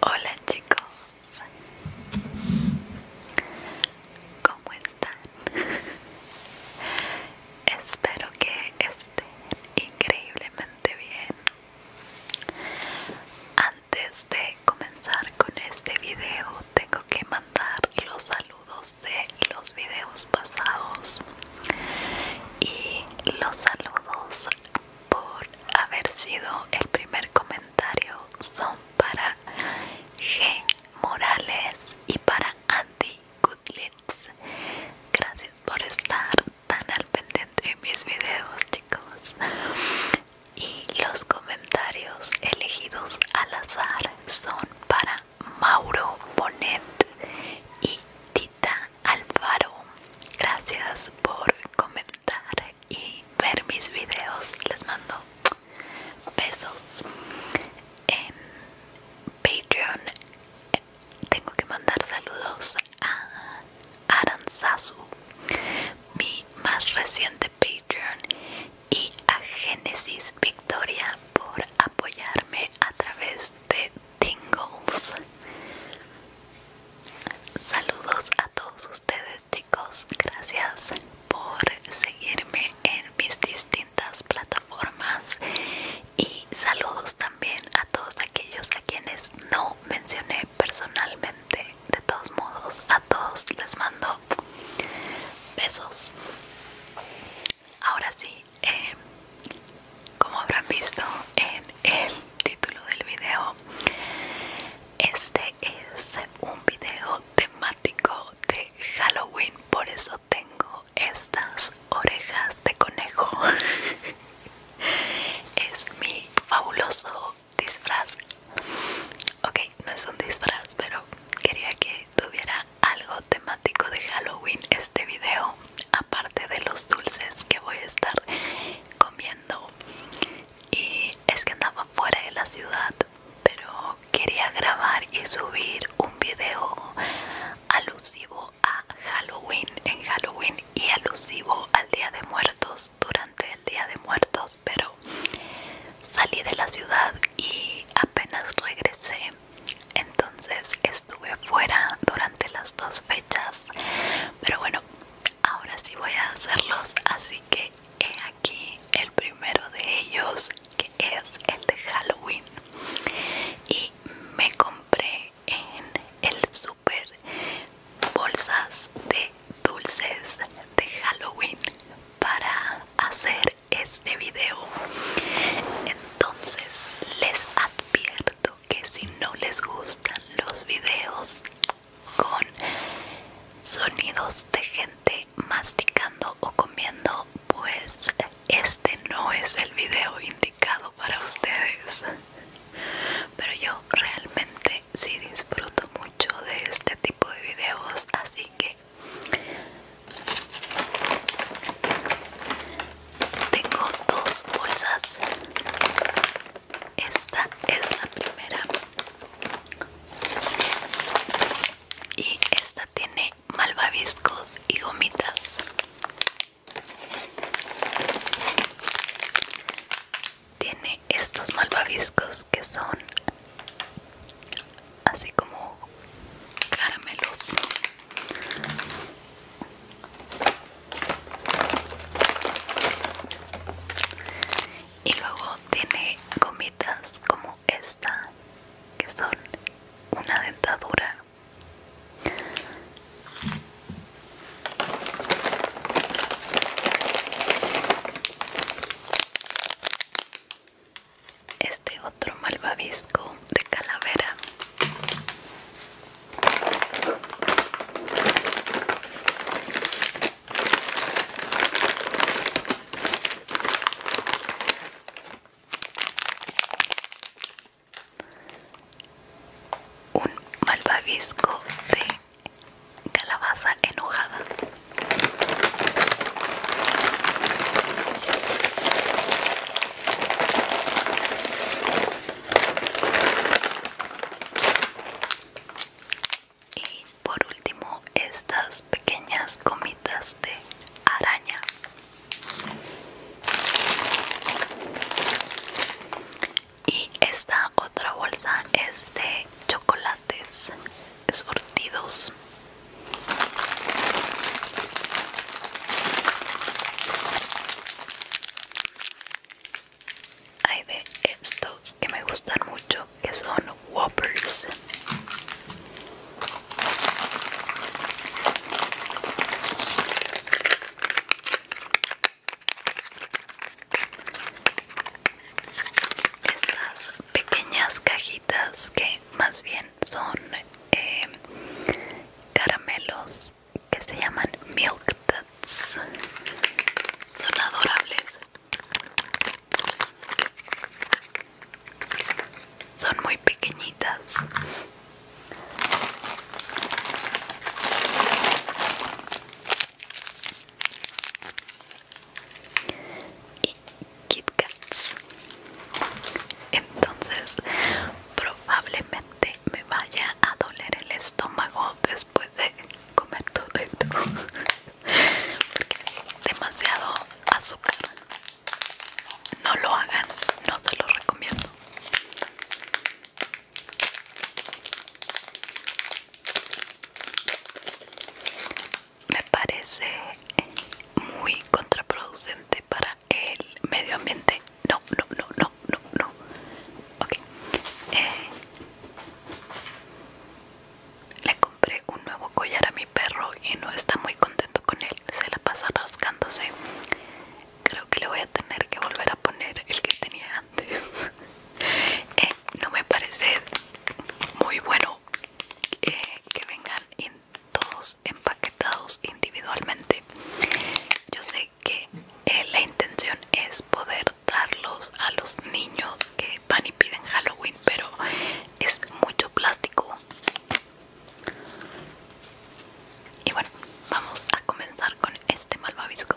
Hola chicos, ¿cómo están? Espero que estén increíblemente bien antes de comenzar con este video tengo que mandar los saludos de los videos pasados y los saludos por haber sido el primer comentario son para G Morales y para Andy Goodlitz gracias por estar tan al pendiente de mis videos chicos y los comentarios elegidos al azar son para Mauro Bonet y Tita Alvaro Gracias por comentar y ver mis videos. Les mando besos. En Patreon tengo que mandar saludos a Aranzazu mi más reciente Patreon y a Génesis Victoria por apoyarme a través de Tingles. Saludos a todos ustedes chicos, gracias por seguirme en mis distintas plataformas y saludos también a todos aquellos a quienes no mencioné personalmente. De todos modos, a todos les mando besos. Ahora sí, eh, como habrán visto en el título del video, este es un video temático de Halloween, por eso tengo estas orejas de conejo. es mi fabuloso disfraz ok no es un disfraz pero quería que tuviera algo temático de halloween este video aparte de los dulces que voy a estar comiendo y es que andaba fuera de la ciudad pero quería grabar y subir un video alusivo a Halloween en Halloween y alusivo al Día de Muertos durante el Día de Muertos pero salí de la ciudad y apenas regresé. Entonces estuve fuera durante las dos fechas. Pero bueno, ahora sí voy a hacerlos. Así que he aquí el primero de ellos, que es el de Halloween. Y me compré en el super bolsas de dulces de Halloween para hacer este video entonces les advierto que si no les gustan los videos con sonidos de gente masticando o comiendo pues este no es el video indicado para ustedes pero yo realmente si, disfruto mucho de este tipo de videos así que tengo dos bolsas esta es la primera y esta tiene malvaviscos y gomitas tiene estos malvaviscos que son así como caramelos y luego tiene gomitas como esta que son una dentadura este otro malvavisco de calavera. Un malvavisco de calabaza enojada y por último estas pequeñas comitas de araña y esta otra bolsa es de chocolates sortidos hay de estos que me gustan mucho que son whoppers estas pequeñas cajitas que más bien son eh, caramelos que se llaman milk Tuts. son adorables son muy pequeñitas y Kit Kats. Entonces, probablemente me vaya a doler el estómago después de comer todo esto. Porque demasiado azúcar. No lo hagan, no se lo recomiendo me parece muy contraproducente para el medio ambiente. No, no, no, no, no, no. Ok. Eh, le compré un nuevo collar a mi perro y no está muy contento con él. Se la pasa rascándose. Creo que le voy a tener que volver a poner el que tenía antes. Eh, no me parece muy bueno eh, que vengan todos empaquetados individualmente yo sé que eh, la intención es poder darlos a los niños que van y piden Halloween pero es mucho plástico y bueno vamos a comenzar con este malvavisco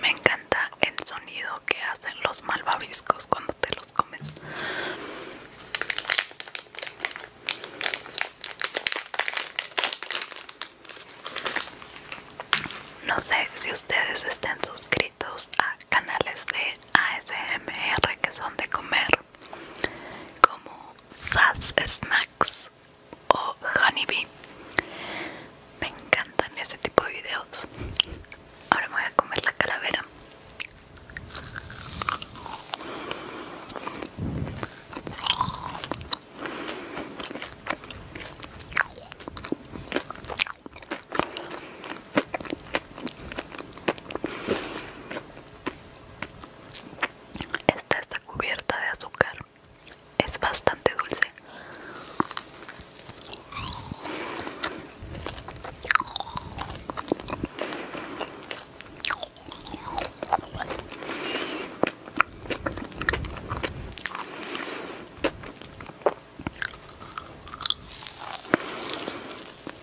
Me encanta el sonido que hacen los malvaviscos cuando te los comes. No sé si ustedes estén suscritos a canales de ASMR que son de comer como Sass Snacks o Honeybee. Me encantan ese tipo de videos. Ahora voy a comer la calavera. Esta está cubierta de azúcar. Es bastante dulce.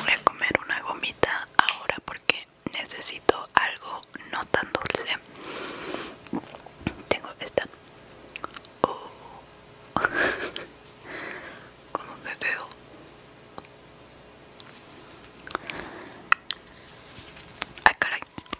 voy a comer una gomita ahora porque necesito algo no tan dulce. Tengo esta. Oh. Como me veo. Ay, ah, caray.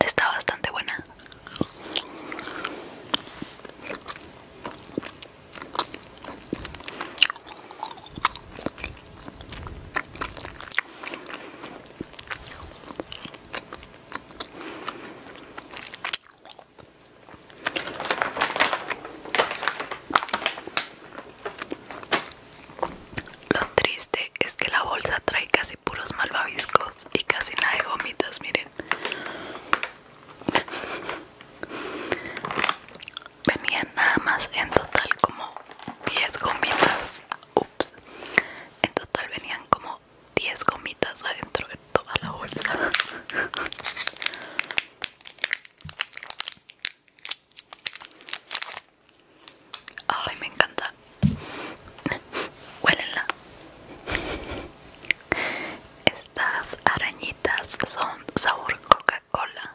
Está bastante buena. Lo triste es que la bolsa trae casi puros malvaviscos y casi nada de gomitas, miren venían nada más en total como 10 gomitas ups en total venían como 10 gomitas adentro de toda la bolsa Ay, me encanta. huelenla Estas arañitas son sabor Coca-Cola.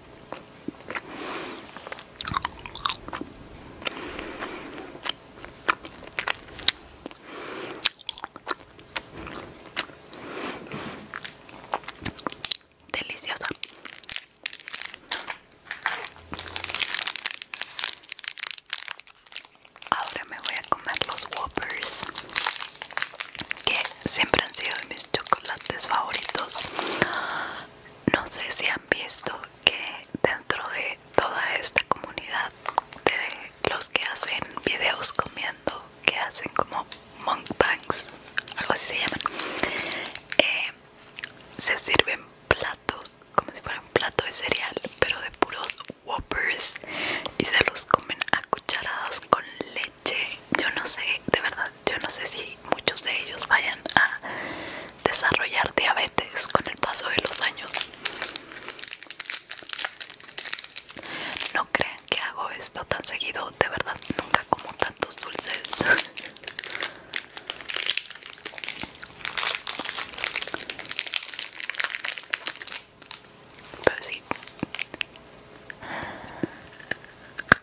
Deliciosa. Ahora me voy a comer los Whoppers, que siempre han sido de mis chocolates favoritos no sé si han visto que dentro de toda esta comunidad de los que hacen videos comiendo que hacen como mukbangs algo así se llaman eh, se sirven platos como si fuera un plato de cereal pero de puros whoppers y se los comen a cucharadas con leche yo no sé de verdad yo no sé si muchos de ellos vayan a desarrollar diabetes con el paso de los años. No crean que hago esto tan seguido, de verdad nunca como tantos dulces. Pero sí.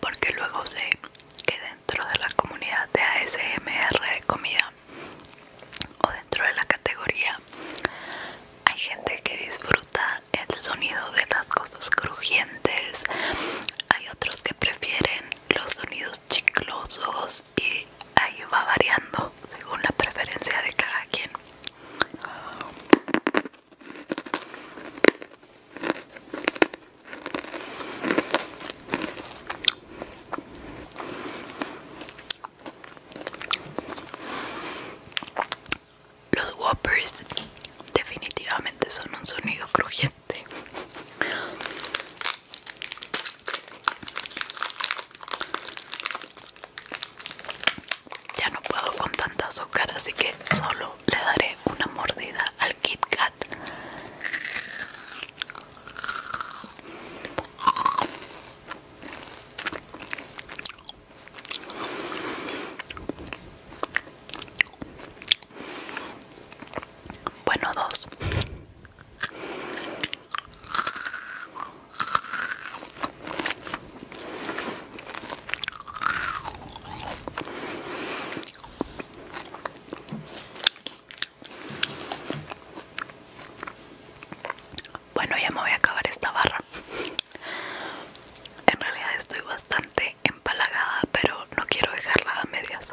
porque luego sé que dentro de la comunidad de ASMR de comida o dentro de la categoría hay gente que disfruta el sonido de las cosas crujientes hay otros que prefieren los sonidos chiclosos y ahí va variando según la preferencia de cada quien los Whoppers definitivamente son un sonido crujiente ya no puedo con tanta azúcar, así que solo le daré una mordida al Kit Kat. Bueno, dos. Bueno, ya me voy a acabar esta barra. En realidad estoy bastante empalagada, pero no quiero dejarla a medias.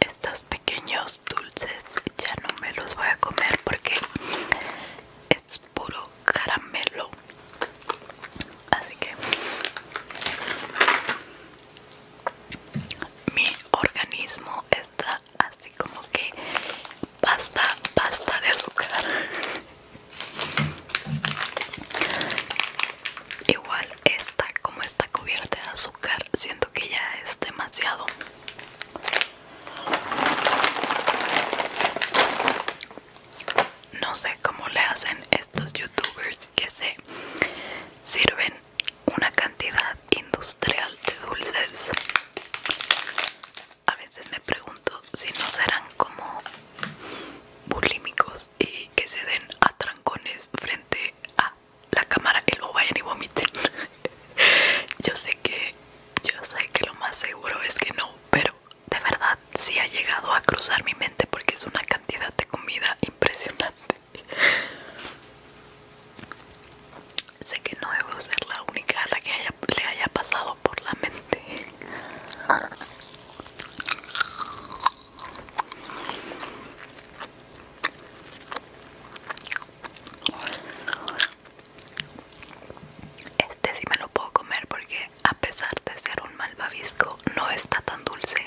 Estos pequeños dulces ya no me los voy a comer porque es puro caramelo. Así que mi organismo está así como que pasta, pasta de azúcar. Igual esta, como está cubierta de azúcar, siento que ya es demasiado. No sé cómo le hacen estos youtubers que se sirven una cantidad industrial de dulces. A veces me pregunto si no serán como bulímicos y que se den a trancones frente a la cámara y lo vayan y vomiten. yo sé que yo sé que lo más seguro es que no, pero de verdad sí ha llegado a cruzar mi mente porque es una cantidad de comida impresionante. Sé que no debo ser la única a la que le haya pasado por la mente. Este sí me lo puedo comer porque a pesar de ser un mal babisco no está tan dulce.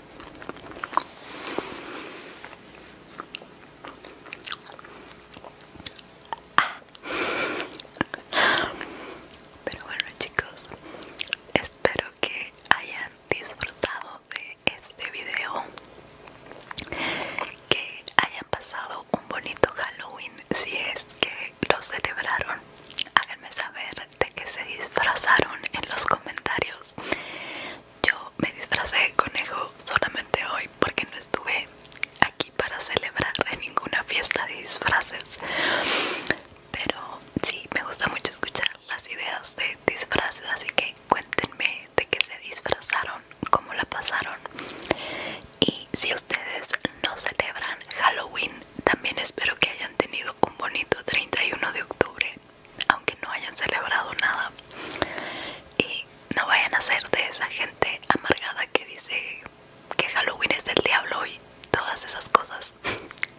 Pero bueno chicos, espero que hayan disfrutado de este video, que hayan pasado un bonito Halloween si es que lo celebraron. Háganme saber de qué se disfrazaron en los comentarios. Yo me disfracé de conejo solamente hoy porque no estuve aquí para celebrar ninguna fiesta de disfraces. Pero sí, me gusta mucho escuchar las ideas de disfraces, así que cuéntenme de qué se disfrazaron, cómo la pasaron. Y si ustedes no celebran Halloween, también espero que hayan tenido un bonito 31 de octubre aunque no hayan celebrado nada y no vayan a ser de esa gente amargada que dice que Halloween es del diablo y todas esas cosas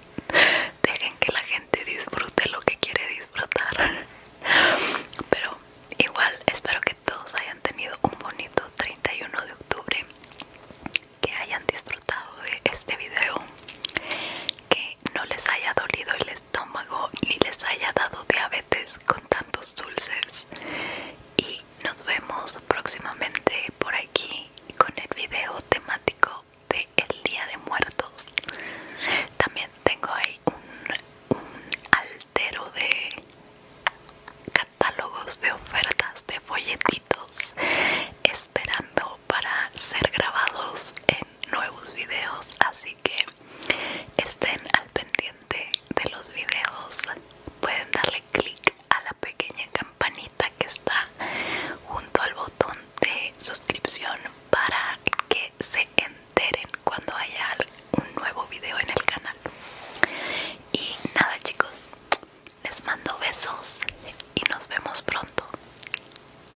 dejen que la gente disfrute lo que quiere disfrutar pero igual espero que todos hayan tenido un bonito 31 de octubre que hayan disfrutado de este video que no les haya dolido y les estómago ni les haya dado diabetes con tantos dulces y nos vemos próximamente por aquí con el video temático de el día de muertos también tengo ahí un altero de catálogos de ofertas de folletitos esperando para ser grabados en nuevos videos así que estén al pendiente de los videos pueden darle clic a la pequeña campanita que está junto al botón de suscripción para que se enteren cuando haya un nuevo video en el canal y nada chicos les mando besos y nos vemos pronto